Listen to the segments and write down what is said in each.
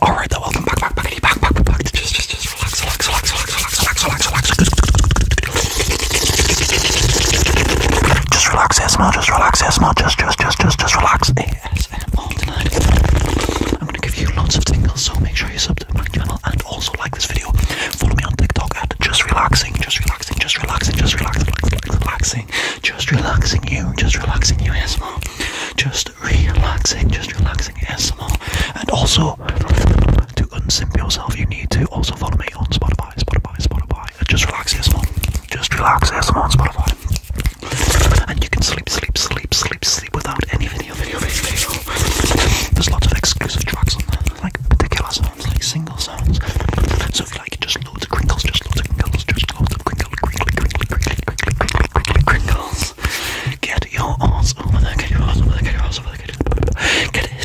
All right, though, welcome back, back, back, back, back, back, back. Just, just, just relax, relax, relax, relax, relax, relax, relax, relax. Just relax, ASMR. Just relax, ASMR. Just, just, just, just, just relax. ASMR tonight. I'm gonna give you lots of tingles, so make sure you sub to my channel and also like this video. Follow me on TikTok at just relaxing, just relaxing, just relaxing, just relaxing, relax, relaxing, just relaxing you, just relaxing you, ASMR. Just relaxing, just relaxing, ASMR. And also to unsimp yourself, you need to also follow me on Spotify, Spotify, Spotify, just relax ASMR. Just relax ASMR on Spotify. And you can sleep, sleep, sleep, sleep, sleep without any video, video, video, video. There's lots of exclusive tracks on there, like particular sounds, like single sounds. So if you like, just loads of crinkles, just loads of crinkles, just loads of crinkle, crinkly, crinkly, crinkly, crinkly, crinkly, crinkles. Get your arms over there, get your arms over there, get your arms over there, get it. Get it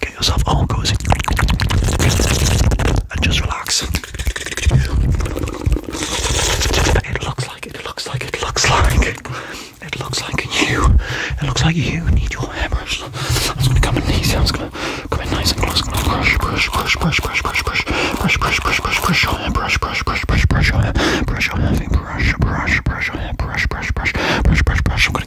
Get yourself all cozy and just relax. It looks like it looks like it looks like it looks like you. It looks like you need your hairbrush. I'm just gonna come in easy. I'm just gonna come in nice and close. Gonna brush, brush, brush, brush, brush, brush, brush, brush, brush, brush, brush, brush your hair, brush, brush, brush, brush, brush your hair, brush your hair, brush, brush, brush your hair, brush, brush, brush, brush, brush, brush. I'm gonna.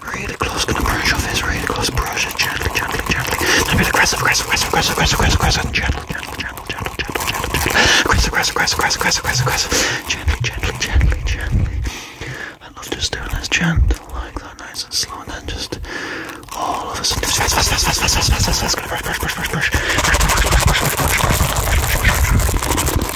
Really close, gonna brush off his really close. Brush it gently, gently, gently. Now be aggressive, aggressive, aggressive, aggressive, aggressive, aggressive, aggressive. Gentle, gentle, gentle, gentle, gentle, gentle, gentle. Aggressive, aggressive, aggressive, aggressive, aggressive, aggressive. Gently, gently, gently, gently. I love just doing this gentle like that, nice and slow, and then just all of a sudden, fast, fast, fast, fast, fast, fast, fast, fast. Gonna brush, brush, brush, brush, brush, brush, brush, brush, brush, brush, brush, brush, brush, brush, brush, brush.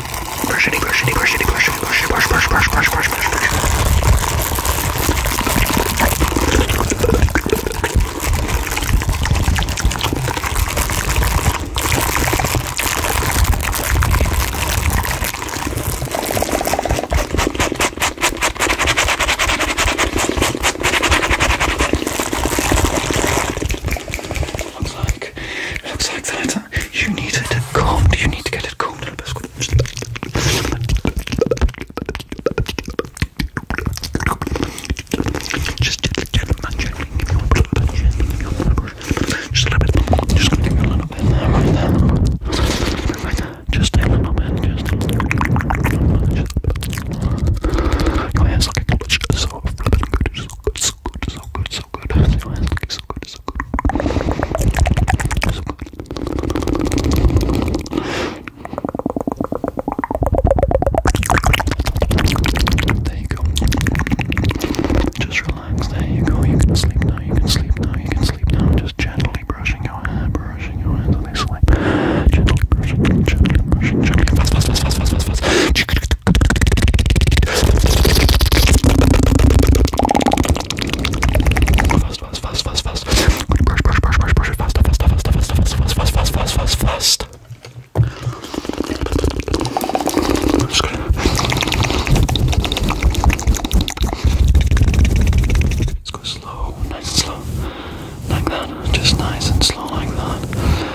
brush it, brush it, brush it, brush it, brush it, brush, brush, brush, brush, brush, brush, brush. Looks like looks like that. You need it combed. You need to get it combed. Just just a little bit. Just gonna give you a little bit there, right there. Right there. Just a little bit. Just a little bit. Your hair's looking good. So flipping good. So good. So good. So good so good. Their eyes look so good, so good. So good. There you go. Just relax. There you go. You can sleep now. You can sleep now. You can sleep now. Just gently brushing your hair, brushing your hair until they sleep. Gently brushing, gently brushing, gently. Fast, fast, fast, fast, fast, fast, fast. Fast, fast, fast, fast, fast. Brush, brush, brush, brush, brush, fast, fast, fast, fast, fast, fast, fast, fast, fast, fast, fast. I'm just gonna. Let's go slow, nice and slow, like that. Just nice and slow, like that.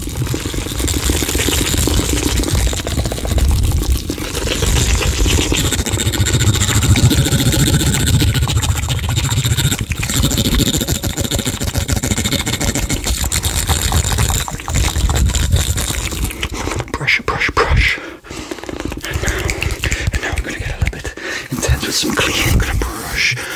Brush, brush, brush. And now, and now I'm going to get a little bit intense with some cleaning. I'm going to brush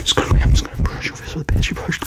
Excuse me, I'm just gonna brush your face with a brush. brush.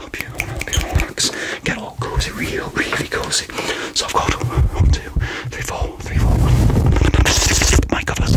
Hope you relax. Get all cozy, real, really cozy. So I've got one, two, three, four, three, four. My covers.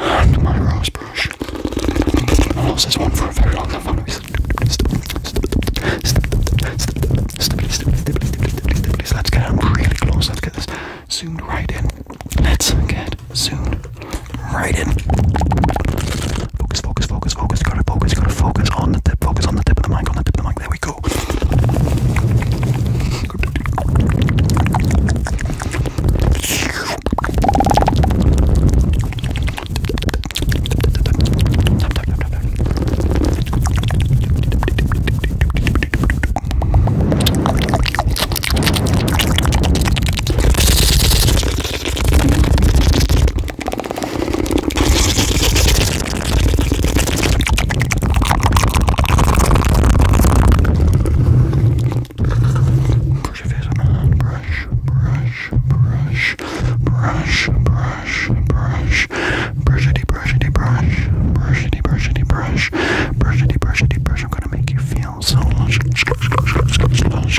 And my rose brush. I lost this one for a very long time. Let's get really close. Let's get this zoomed right in. Let's get zoomed right in. Focus, focus, focus, focus. Gotta focus, gotta focus on the tip, focus on the tip of the mic, on the tip of the mic. There we go. Brush your face with my hand. Brush, brush, brush, brush, brush, brush, brushity, brushity, brush, brushity, brushity, brush, brushity, brushity, brush. I'm gonna make you feel so lush, lush, lush, lush, lush, lush,